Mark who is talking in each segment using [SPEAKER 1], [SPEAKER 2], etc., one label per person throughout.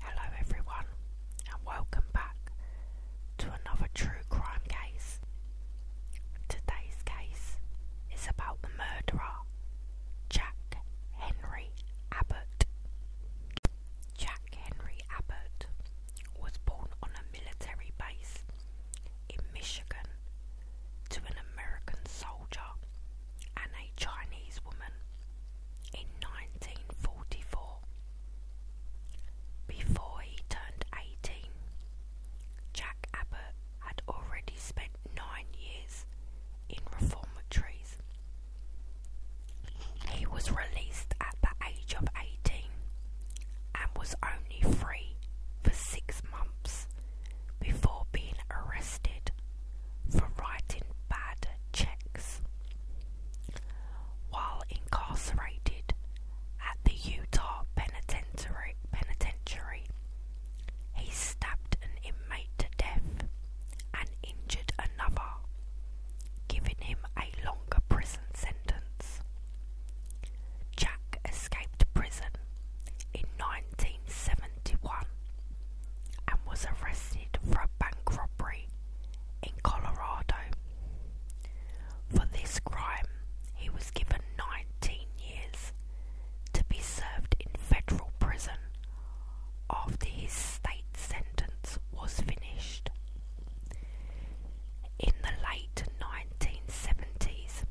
[SPEAKER 1] Hello, everyone, and welcome back to another true crime case. Today's case is about the murderer, Jack Henry Abbott. Jack Henry Abbott was born on a military base in Michigan to an American soldier and a Chinese woman in 1944. Before he turned 18, Jack Abbott had already spent nine years in reformatories. He was released at the age of 18 and was only free for six months before being arrested for writing bad checks. While incarcerated at the Utah Penitentiary, he stabbed an inmate to death and injured another, giving him a longer prison sentence. Jack escaped prison in 1971 and was arrested for a bank robbery in Colorado. For this crime, he was given 19 years to be served in federal prison after his state sentence was finished. In the late 1970s,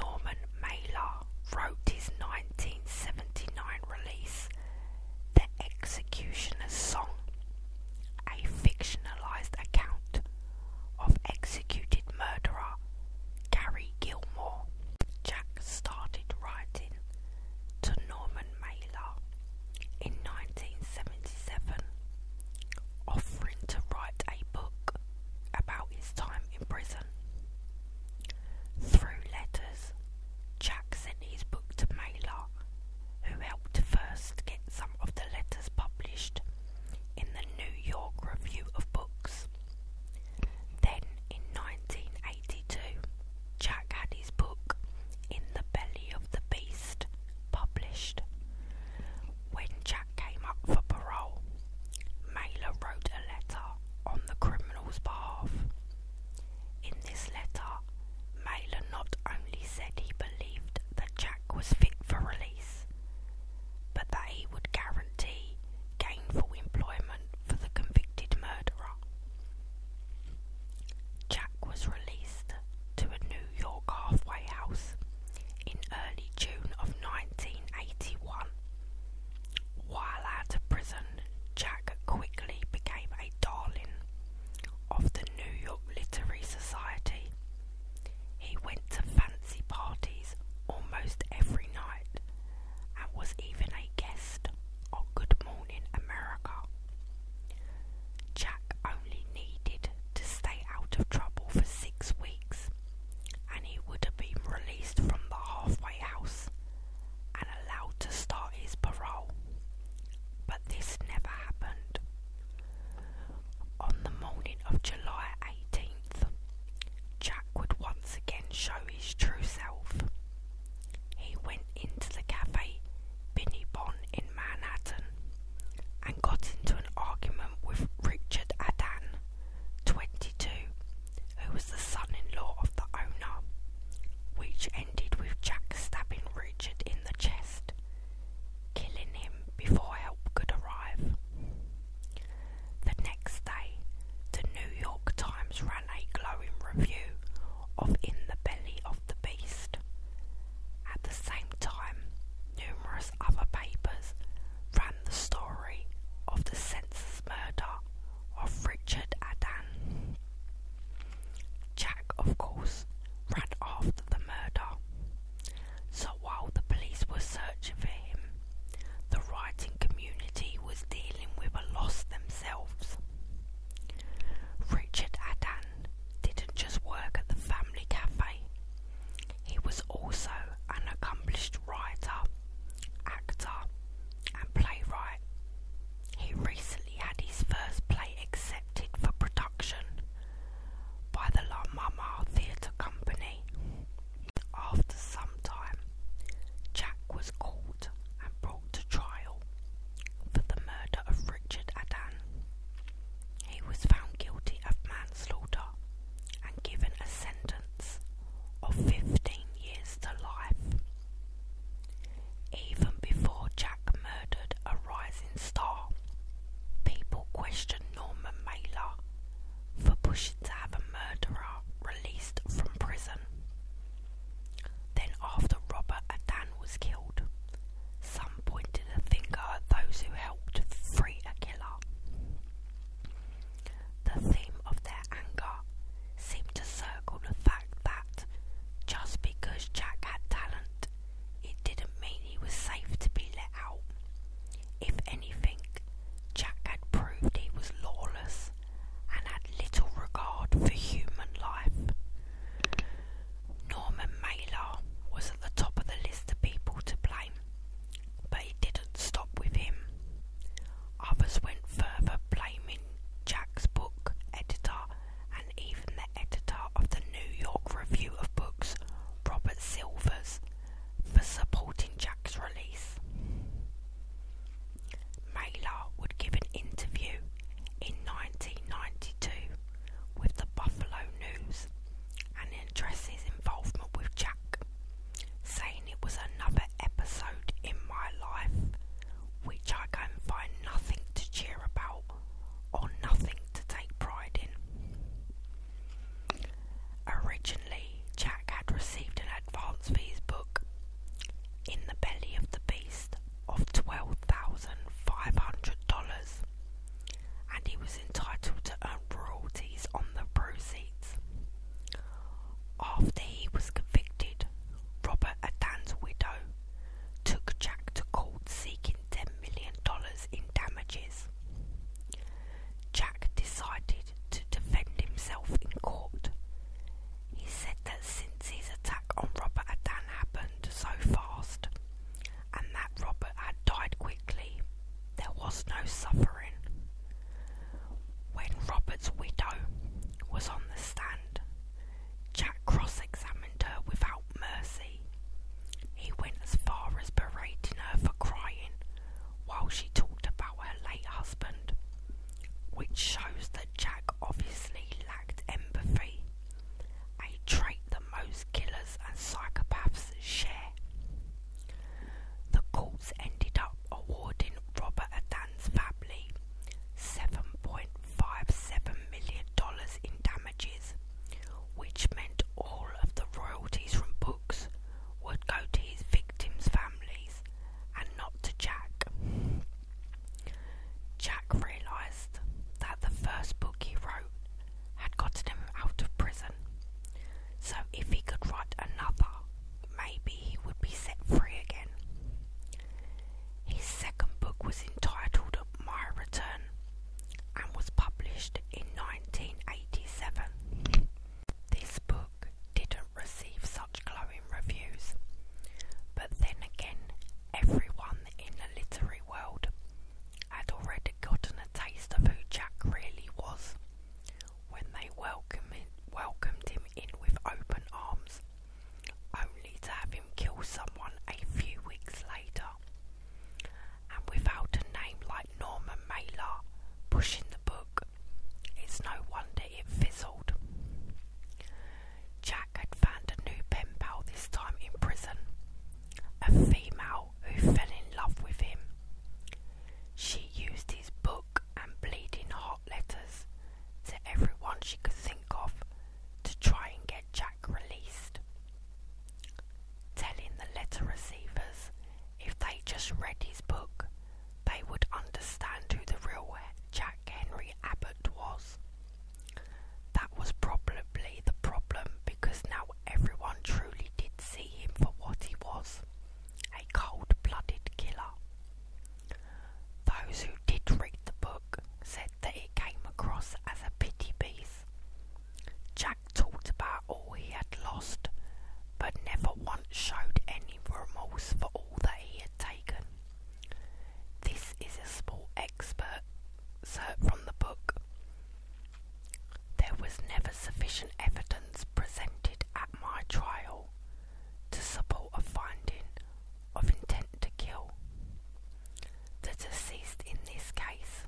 [SPEAKER 1] Norman Mailer wrote his 1979 release the Executioner's Song, a fictionalized account of executed murderer Gary Gilmore. Jack started writing to Norman Mailer in 1977, offering to write a book about his time in prison. Through letters, Jack sent his book to Mailer, who helped first get some of the letters published in the New York Review of Books. Then, in 1982, Jack had his book, In the Belly of the Beast, published. When Jack came up for parole, Mailer wrote a letter on the criminal's behalf in this letter, Mailer not only said he believed that Jack was fit for release, but that he would guarantee gainful employment for the convicted murderer. Jack was released to a New York halfway house in early June of 1981. While out of prison, Jack quickly became a darling of the New York Literary Society. He went to fancy parties almost every night and was even a guest on Good Morning America. Jack only needed to stay out of trouble for six weeks and he would have been released from the halfway house and allowed to start his parole. But this never happened. On the morning of July 18th, Jack would once again show his true self. He went into the cafe Binny Bon in Manhattan and got into an argument with Richard Adan, 22, who was the son-in-law of the owner, which ended with Jack stabbing Richard in the chest, killing him before help could arrive. The next day, the New York Times ran a glowing review of In the Belly of the Beast. At the same time, numerous other papers ran the story of the census murder of Richard Adan. Jack, of course, ran after the murder. So while the police were searching for him, the writing community was dealing with a loss themselves. Richard Adan didn't just work at the family cafe, he was also an accomplished writer actor, and playwright. He recently had his first play accepted for production by the La Mama Theatre Company. After some time, Jack was caught and brought to trial for the murder of Richard Adan. He was found guilty of manslaughter and given a sentence of 15 years to life. Even before Jack murdered a rising star, people questioned Norman Mailer for pushing to have a murderer released from prison. Then, after Robert Adan was killed, some pointed a finger at those who helped free a killer. The theme of their anger seemed to circle the fact that just because Jack had talent, it didn't mean he was safe to be let out. If anything, Jack had proved he was lawless and had little regard for human life. Norman Mailer was at the top of the list of people to blame but it didn't stop with him. Others went further, blaming Jack's book editor and even the editor of the New York Review of Books, Robert Silvers, for supporting Jack's release. Mailer would give an interview in 1992 with the Buffalo News and address his involvement with Jack saying it was another episode in my life which I can find nothing to cheer about or nothing to take pride in. Originally, Jack had received an advance for his book, In the Belly of the Beast, of $12,500, and he was entitled to earn royalties on the proceeds. After he was convicted, Robert Adan's widow took Jack to court seeking $10 million in damages. Jack decided to defend himself in court. He said that since his attack on Robert Adan happened so fast, and that Robert had died quickly, there was no suffering. When Robert's widow was on the stand, Jack cross examined her without mercy. He went as far as berating her for crying while she talked about her late husband, which shows that Jack obviously lacked empathy, a trait that most killers and psychopaths share. The courts ended up awarding Robert Athan's family $7.57 million in damages, which meant all of the royalties from books would go to his victims' families and not to Jack. Jack realised that the first book he wrote had gotten him out of prison. So if he could write another, maybe he would be set free again. His second book was entitled My Return and was published in 1987. This book didn't receive such glowing reviews, but then again, everyone in the literary world had already gotten a taste of who Jack really was when they welcomed him, welcomed him in with open arms, only to have him kill someone a few weeks later. And without a name like Norman Mailer pushing the book, it's no wonder it fizzled. Jack had found a new pen pal this time in prison, a female who fell in love with him. She used his book and bleeding hot letters to everyone she could think of to try and get Jack released, telling the letter receivers if they just read his book, they would understand who the real Jack Henry Abbott was. That was probably the problem because now everyone truly did see him for what he was a cold blooded killer. Those who did read the book said that it came across as a pity piece. Jack talked about all he had lost, but never once showed any remorse for all that he had taken. This is a small expert excerpt from the book. There was never sufficient evidence presented at my trial to support a finding of intent to kill. The deceased in this case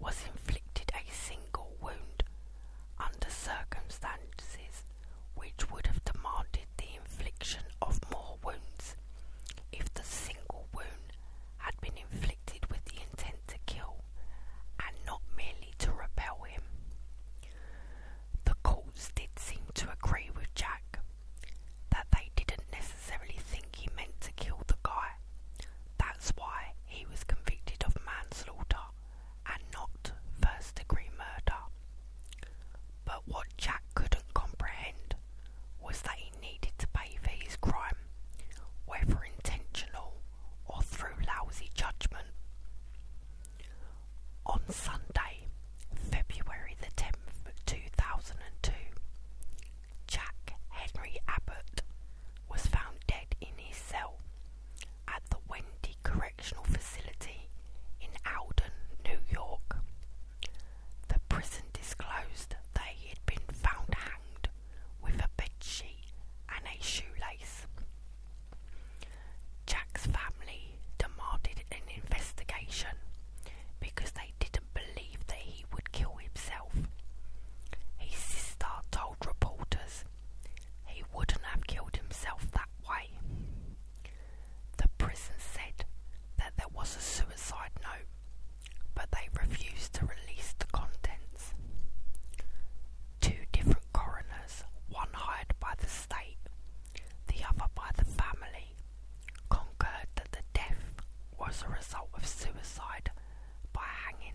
[SPEAKER 1] was inflicted a single wound under circumstances which would have demanded the infliction of more wounds if the single wound had been inflicted with the intent to kill and not merely to repel him. The courts did seem to agree with Jack that they didn't necessarily think he meant to kill the guy. That's why he was convicted of manslaughter and not first degree murder. But what Jack couldn't comprehend was that he needed to pay for his crime, whether intentional or through lousy judgment. On Sunday, February the 10th, 2002, Jack Henry Abbott was found dead in his cell at the Wendy Correctional Facility in Alden, New York. The prison disclosed that he had been found with a bedsheet and a shoelace. Jack's family demanded an investigation because they didn't believe that he would kill himself. His sister told reporters he wouldn't have killed himself that way. The prison said that there was a suicide note but they refused to release the contents. Two different coroners, one hired by the state, the other by the family, concurred that the death was a result of suicide by hanging.